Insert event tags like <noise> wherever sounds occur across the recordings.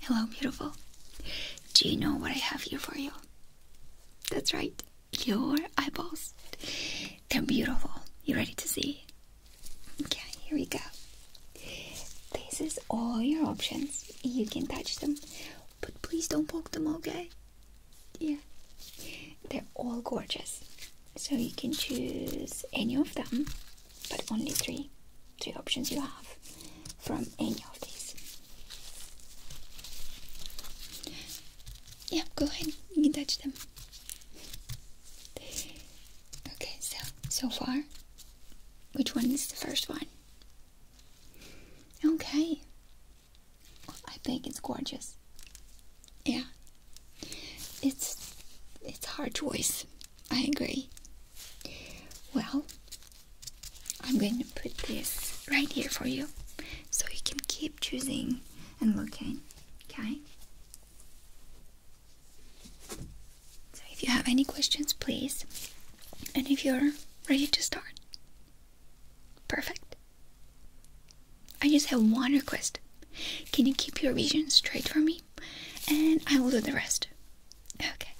Hello, beautiful. Do you know what I have here for you? That's right, your eyeballs. They're beautiful. You ready to see? Okay, here we go. This is all your options. You can touch them, but please don't poke them, okay? Yeah. They're all gorgeous. So you can choose any of them but only three three options you have from any of these yeah go ahead you can touch them okay so so far which one is the first one okay i think it's gorgeous yeah it's it's hard choice I agree. Well, I'm going to put this right here for you so you can keep choosing and looking, okay? So if you have any questions, please. And if you're ready to start, perfect. I just have one request. Can you keep your vision straight for me? And I will do the rest. Okay.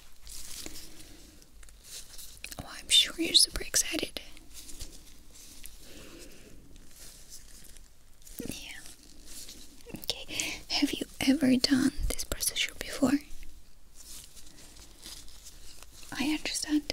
Oh, I'm sure you're super excited. Yeah. Okay. Have you ever done this procedure before? I understand.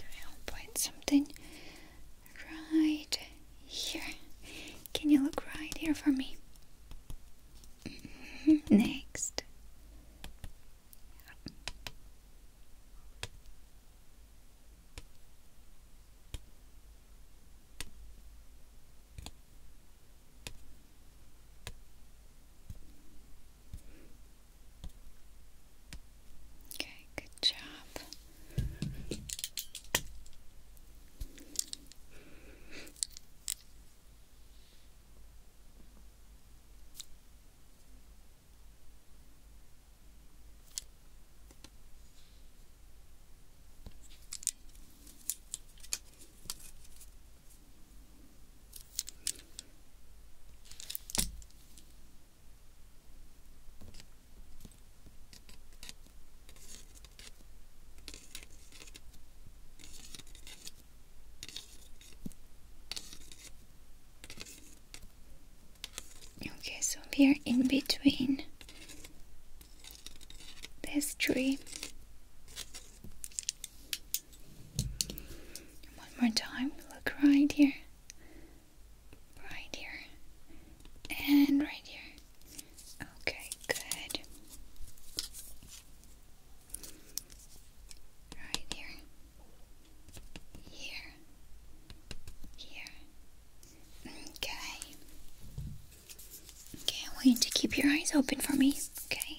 Okay, I'll something right here. Can you look right here for me? Mm-hmm. Next. Okay, good job. Okay, so we are in between this tree. One more time, look right here right here, and right here. Okay, good. Right here, here, here. Okay. Okay, I want to keep your eyes open for me. Okay.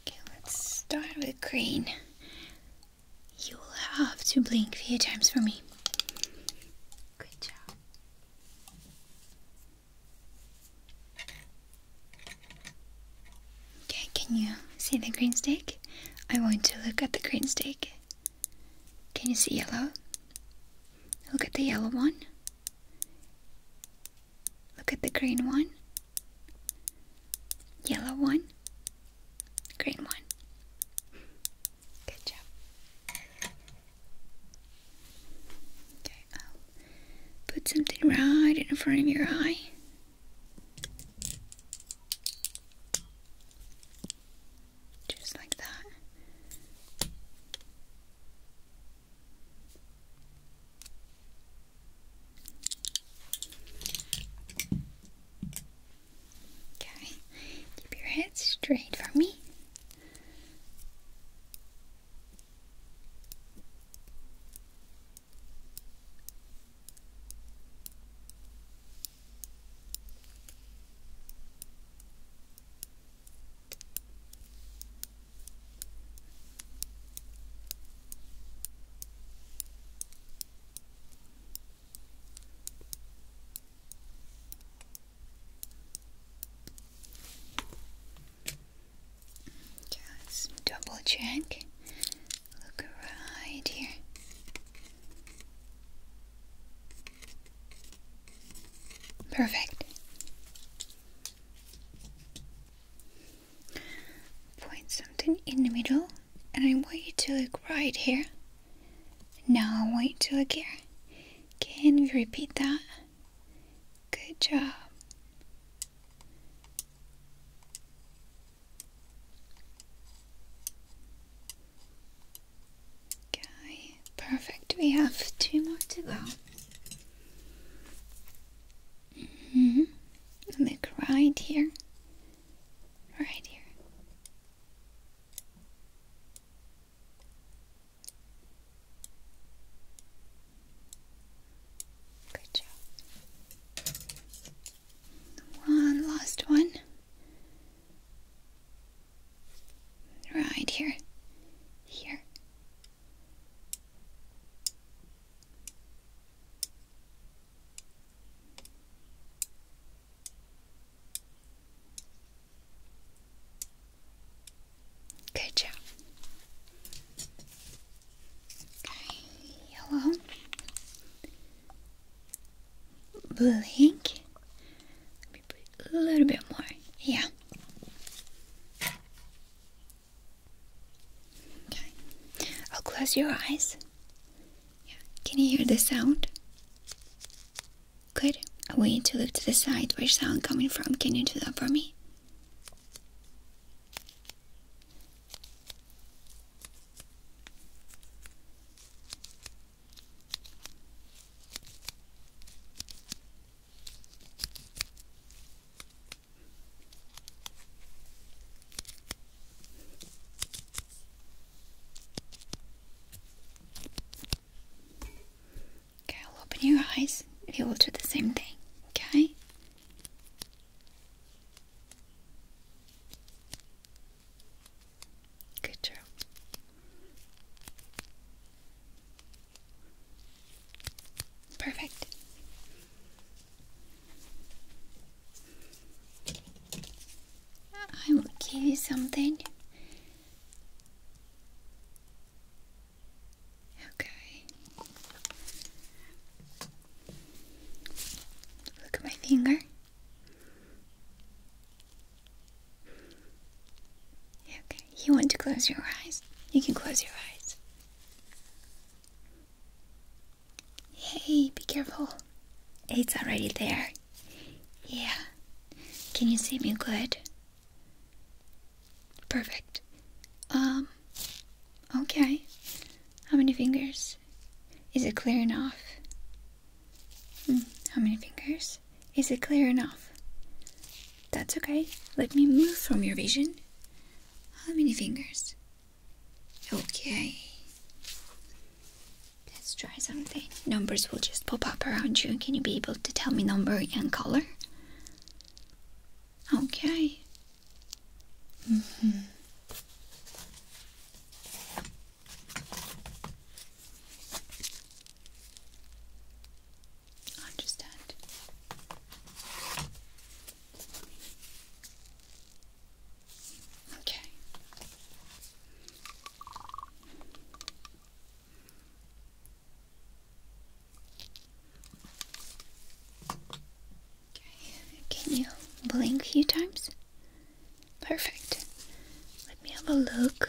Okay, let's start with green. You will have to blink few times for me. Good job. Okay, can you see the green stick? I want to look at the green stick. Can you see yellow? Look at the yellow one. Look at the green one, yellow one, green one. Good job. Okay, I'll put something right in front of your eye. Just like that. Okay, keep your head straight for me. Just double check. Look right here. Perfect. Point something in the middle, and I want you to look right here. Now I want you to look here. Can we repeat that? Good job. Okay, perfect. We have two more to go. Mm-hmm. Look right here. Right here. Good job. One last one. Right here. Here. Good job. Okay, yellow, blue ink. Let me put a little bit more. Yeah. Okay. I'll close your eyes. Yeah. Can you hear the sound? Good. I want you to look to the side where sound coming from. Can you do that for me? Okay, I'll open your eyes. You will do the same thing, okay? Good job. Perfect. I will give you something. Okay. Look at my finger. Okay. You want to close your eyes? You can close your eyes. Hey, be careful. It's already there. Yeah. Can you see me good? Perfect. Um, okay. How many fingers? Is it clear enough? Mm, how many fingers? Is it clear enough? That's okay. Let me move from your vision. How many fingers? Okay. Let's try something. Numbers will just pop up around you. Can you be able to tell me number and color? Okay. Mm -hmm. I understand. Okay. Okay, can you blink a few times? Perfect. Let me have a look.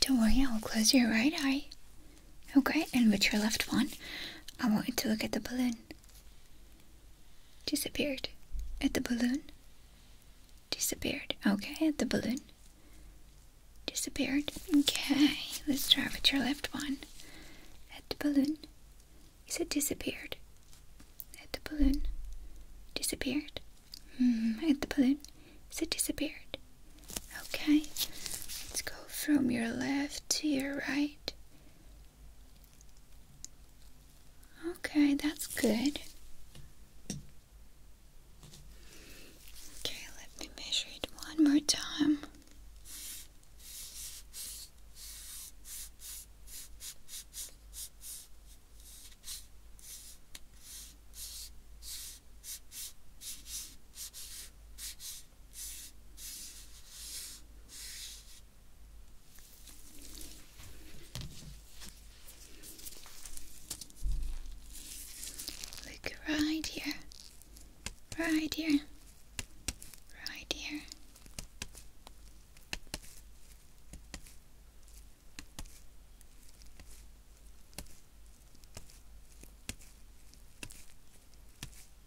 don't worry, I'll close your right eye. Okay, and with your left one, I want you to look at the balloon. Disappeared. At the balloon? Disappeared. Okay, at the balloon. Disappeared. Okay, let's try with your left one. At the balloon. Is it disappeared? At the balloon. Disappeared. Hmm, at the balloon. Is it disappeared? Okay. Let's go from your left to your right. Okay, that's good. Okay, let me measure it one more time. Look right here, right here, right here.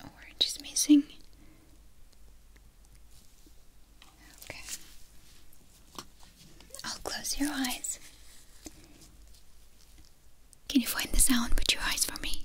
Orange oh, is missing. Okay. I'll close your eyes. Can you find the sound with your eyes for me?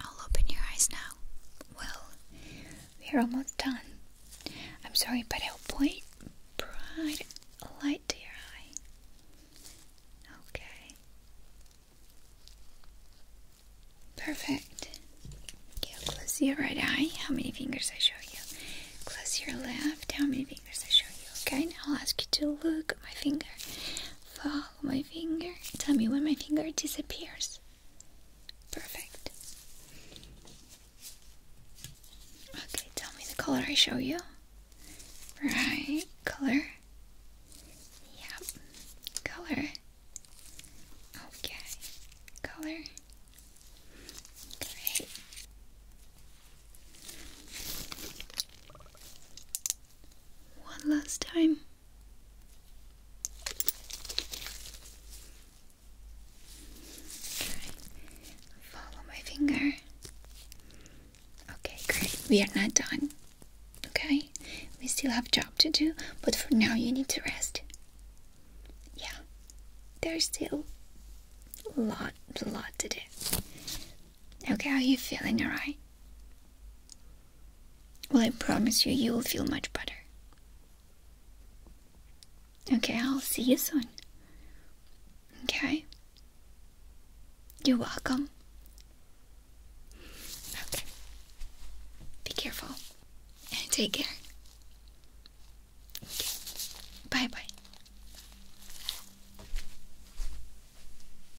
I'll open your eyes now. Well, we're almost done. I'm sorry, but I'll point bright light to your eye. Okay. Perfect. close your right eye. How many fingers I show you? Close your left. How many fingers I show you? Okay, now I'll ask you to look at my finger. Follow my finger. Tell me when my finger disappears. Perfect. Okay, tell me the color I show you. Right, color. Yep, color. Okay, color. Great one last time. Okay. Follow my finger. Okay, great. We are not done. Okay? We still have job to do, but for now you need to rest. Yeah. There's still lot, a lot to do. Okay, how are you feeling alright? Well, I promise you, you will feel much better. Okay, I'll see you soon. Okay? You're welcome. Okay. Be careful. And <laughs> take care. Okay. Bye bye.